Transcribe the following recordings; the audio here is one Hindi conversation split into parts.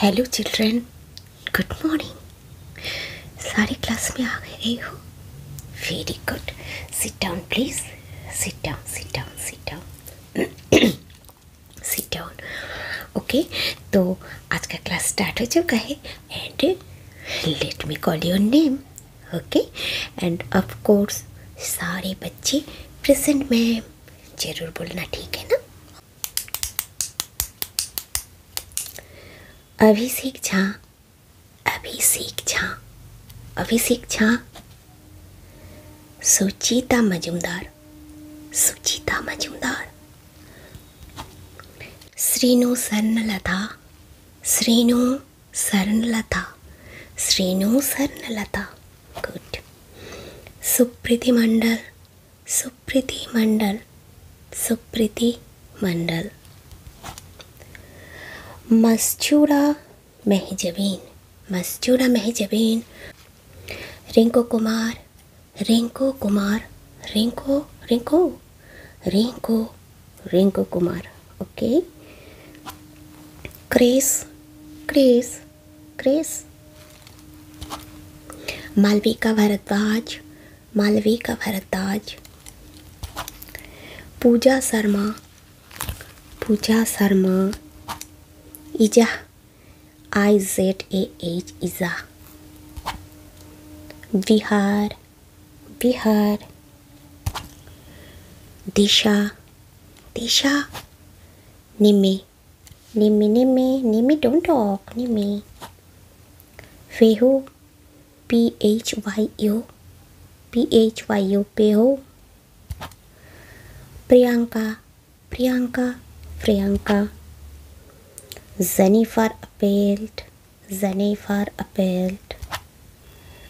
हेलो चिल्ड्रेन गुड मॉर्निंग सारी क्लास में आ गए रही हो very good sit down please sit down sit down sit down sit down ओके तो आज का क्लास स्टार्ट हो चुका है and let me call your name okay and of course सारे बच्चे प्रेजेंट मैम जरूर बोलना ठीक है ना अभी Jha Abhishek Jha Abhishek Jha Suchita Majumdar Suchita Majumdar Srinu Swarnalata Srinu Swarnalata Srinu Swarnalata good Supriti Mandal Supriti Mandal supriti mandal मस्जूडा महजबीन मस्जूरा महजबीन रिंको कुमार रिंको कुमार रिंको रिंको रिंको रिंको कुमार ओके क्रेस क्रेस क्रेस Malvika Bhardwaj Malvika Bhardwaj Pooja Sharma Pooja Sharma Ija I Z A H Ija Vihar Vihar Disha Disha Nimmy Nimmy, Nimmy, Nimmy, don't talk, Nimmy. Feho, P H Y O, P H Y O, Peho. Priyanka, Priyanka, Priyanka. Jennifer appealed, Jennifer appealed.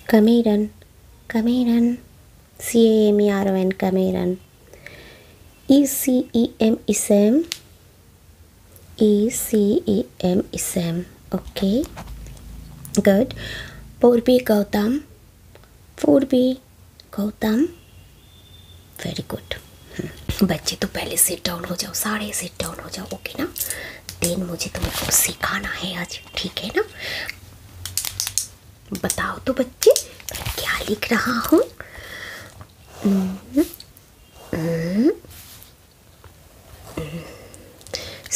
Cameron, Cameron, C A M E R O N, Cameron. C C E M ECEM M ECEM ISM okay good Purvi Gautam Purvi Gautam very good बच्चे तो पहले सिट डाउन हो जाओ सारे सिट डाउन हो जाओ ओके ना देन मुझे तुमको सिखाना है आज ठीक है ना बताओ तो बच्चे मैं क्या लिख रहा हूँ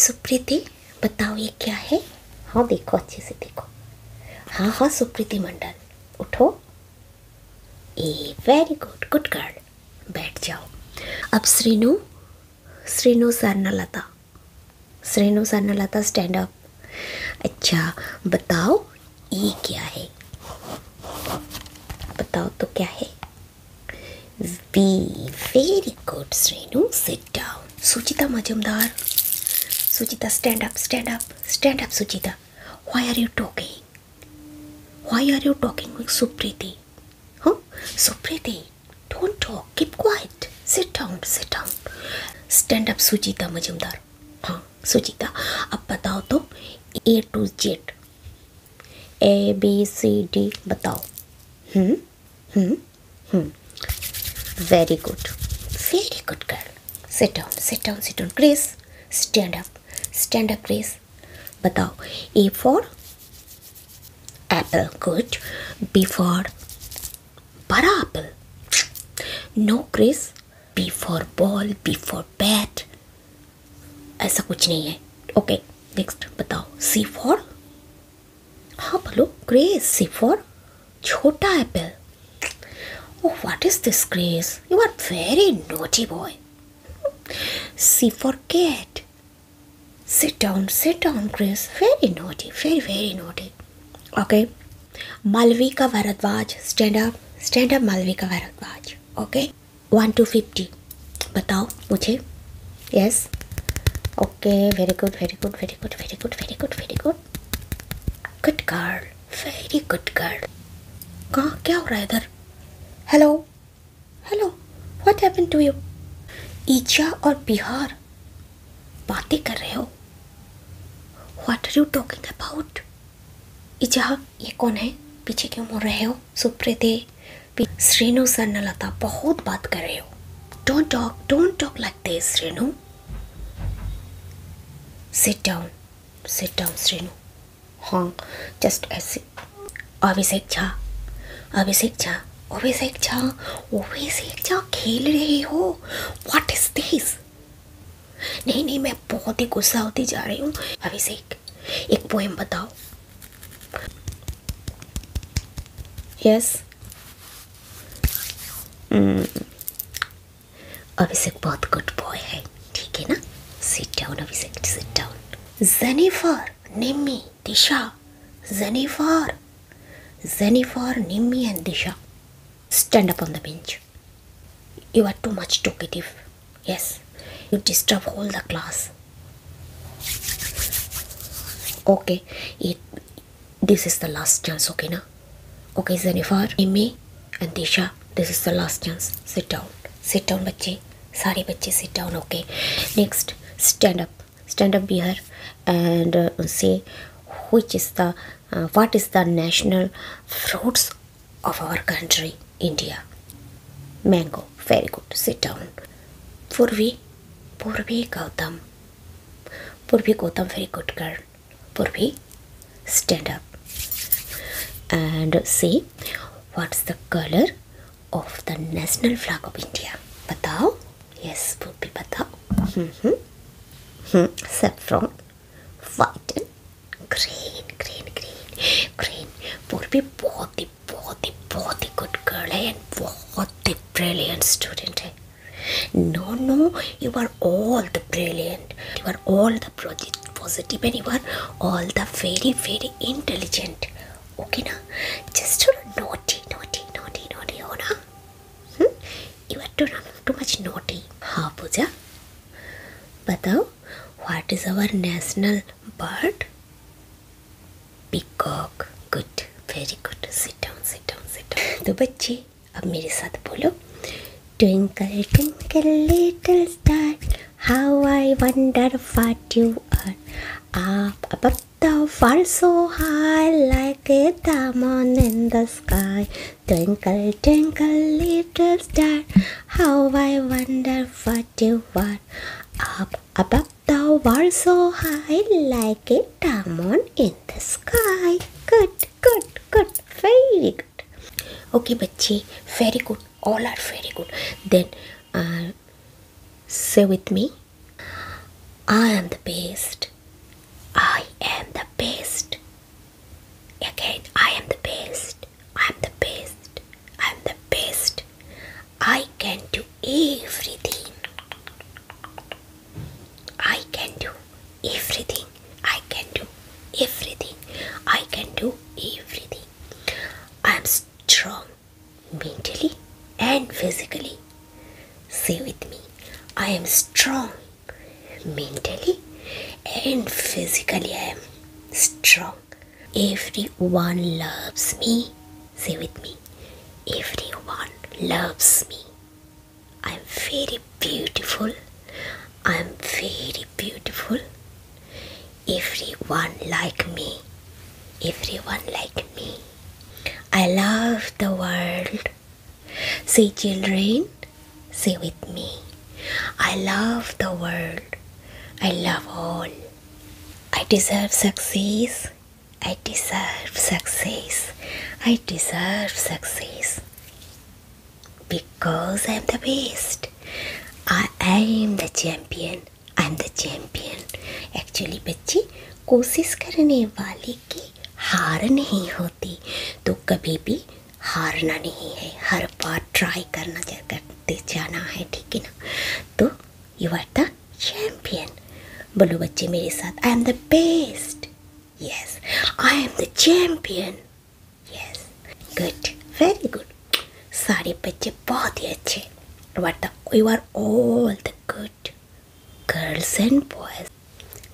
सुप्रीति बताओ ये क्या है हाँ देखो अच्छे से देखो हाँ हाँ सुप्रीति मंडल उठो ए वेरी गुड गुड गर्ल बैठ जाओ अब Srinu Srinu Swarnalata Srinu Swarnalata stand up अच्छा बताओ ये क्या है बताओ तो क्या है वी very good Shrenu sit down Suchita Majumdar Suchita stand up stand up stand up Suchita why are you talking why are you talking with supriti huh supriti don't No, keep quiet. Sit down, sit down. Stand up, Sujita हाँ सुचिता अब बताओ तो A to Z A B C D बताओ hmm hmm very good very good girl sit down sit down sit down Chris stand up stand up Chris बताओ A for apple good B for बड़ा apple no Chris B for ball B for bat ऐसा कुछ नहीं है ओके नेक्स्ट बताओ सी फॉर हाँ बोलो क्रेज सी फॉर छोटा apple Oh, what is this, Grace? You are very naughty boy. C for cat. Sit down, sit down, Grace. Very naughty, very, very naughty. okay malvika bharadwaj stand stand stand up malvika bharadwaj okay 1 to 50 बताओ मुझे yes okay very good very good very good very good very good very good good girl very good girl कहाँ क्या हो रहा है इधर hello hello what happen to you ईचा और बिहार बातें कर रहे हो what are you talking about इजहा ये कौन है पीछे क्यों मुड़ रहे हो सुप्रे सर न लता बहुत बात कर रहे हो don't talk don't talk like this Srinu sit down sit down Srinu हाँ जस्ट ऐसे अभिषेक झा अभिषेक झा ओवेस एक जा ओवेस एक जा खेल रहे हो व्हाट इज दिस नहीं नहीं मैं बहुत ही गुस्सा होती जा रही हूँ अभिषेक एक पोएम बताओ यस hmm. अभिषेक बहुत गुड बॉय है ठीक है ना sit down Abhishek sit down Jennifer Nimmi Disha Disha, Zenifer, Zenifer, Nimi, and Disha. Stand up on the bench. You are too much talkative. Yes, you disturb all the class. Okay, it, this is the last chance, okay? Na? Okay, Zenifer, Nimi, and Disha, this is the last chance. Sit down. Sit down, bache. Sorry, bache, sit down, okay? Next, stand up. stand up here and uh, say which is the uh, what is the national fruits of our country india mango very good sit down purvi purvi gautam purvi gautam very good girl purvi stand up and say what's the color of the national flag of india batao Yes, Poopy Bata. Mm-hmm. Hmm. Saffron. Whiten. Green, green, green, green. Poopy, बहुत ही बहुत ही good girl eh? and बहुत ही brilliant student eh? No, no, you are all the brilliant. You are all the positive and you are all the very, very intelligent. Okay, na? Just थोड़ा naughty, naughty, naughty, naughty हो oh, hmm? You are too, too much naughty. हाँ पूजा बताओ what is our national bird? Peacock. Good. Very good. Sit down, sit down, sit down. तो बच्चे अब मेरे साथ बोलो Twinkle twinkle little star how I wonder what you are. आप अब The far so high like a diamond in the sky Twinkle, twinkle, little star How I wonder what you are Up above the world so high like a diamond in the sky Good, good, good, very good Okay, bachi, very good, all are very good Then uh, say with me I am the best. I am the best. Again, I am the best. I am the best. I am the best. I can do everything. I can do everything. I can do everything. I can do everything. I am strong mentally and physically. Say with me, I am strong mentally and physically. I am strong. Everyone loves me. Say with me, everyone loves me. I am very beautiful. I am very beautiful. Everyone like me. Everyone like me. I love the world. Say, children, say with me. I love the world. I love all. I deserve success. I deserve success. I deserve success. Because I am the best. I am the champion. I am the champion. Actually, Bacci, कोशिश करने वाले की हार नहीं होती तो कभी भी हारना नहीं है हर बार ट्राई करना जा, करते जाना है ठीक है ना तो यू आर द चैम्पियन बोलो बच्चे मेरे साथ I am the best yes I am the champion yes good very good सारे बच्चे बहुत ही अच्छे you are the you are all the good girls and boys.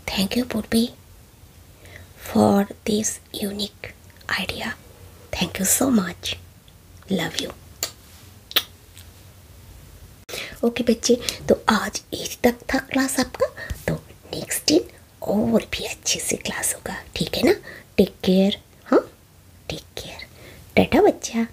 Thank you, Purvi, for this unique idea. Thank you so much. Love you. Okay okay, बच्चे तो आज एज तक था क्लास आपका तो नेक्स्ट दिन और भी अच्छे से क्लास होगा ठीक है ना टेक केयर हाँ टेक केयर टाटा बच्चा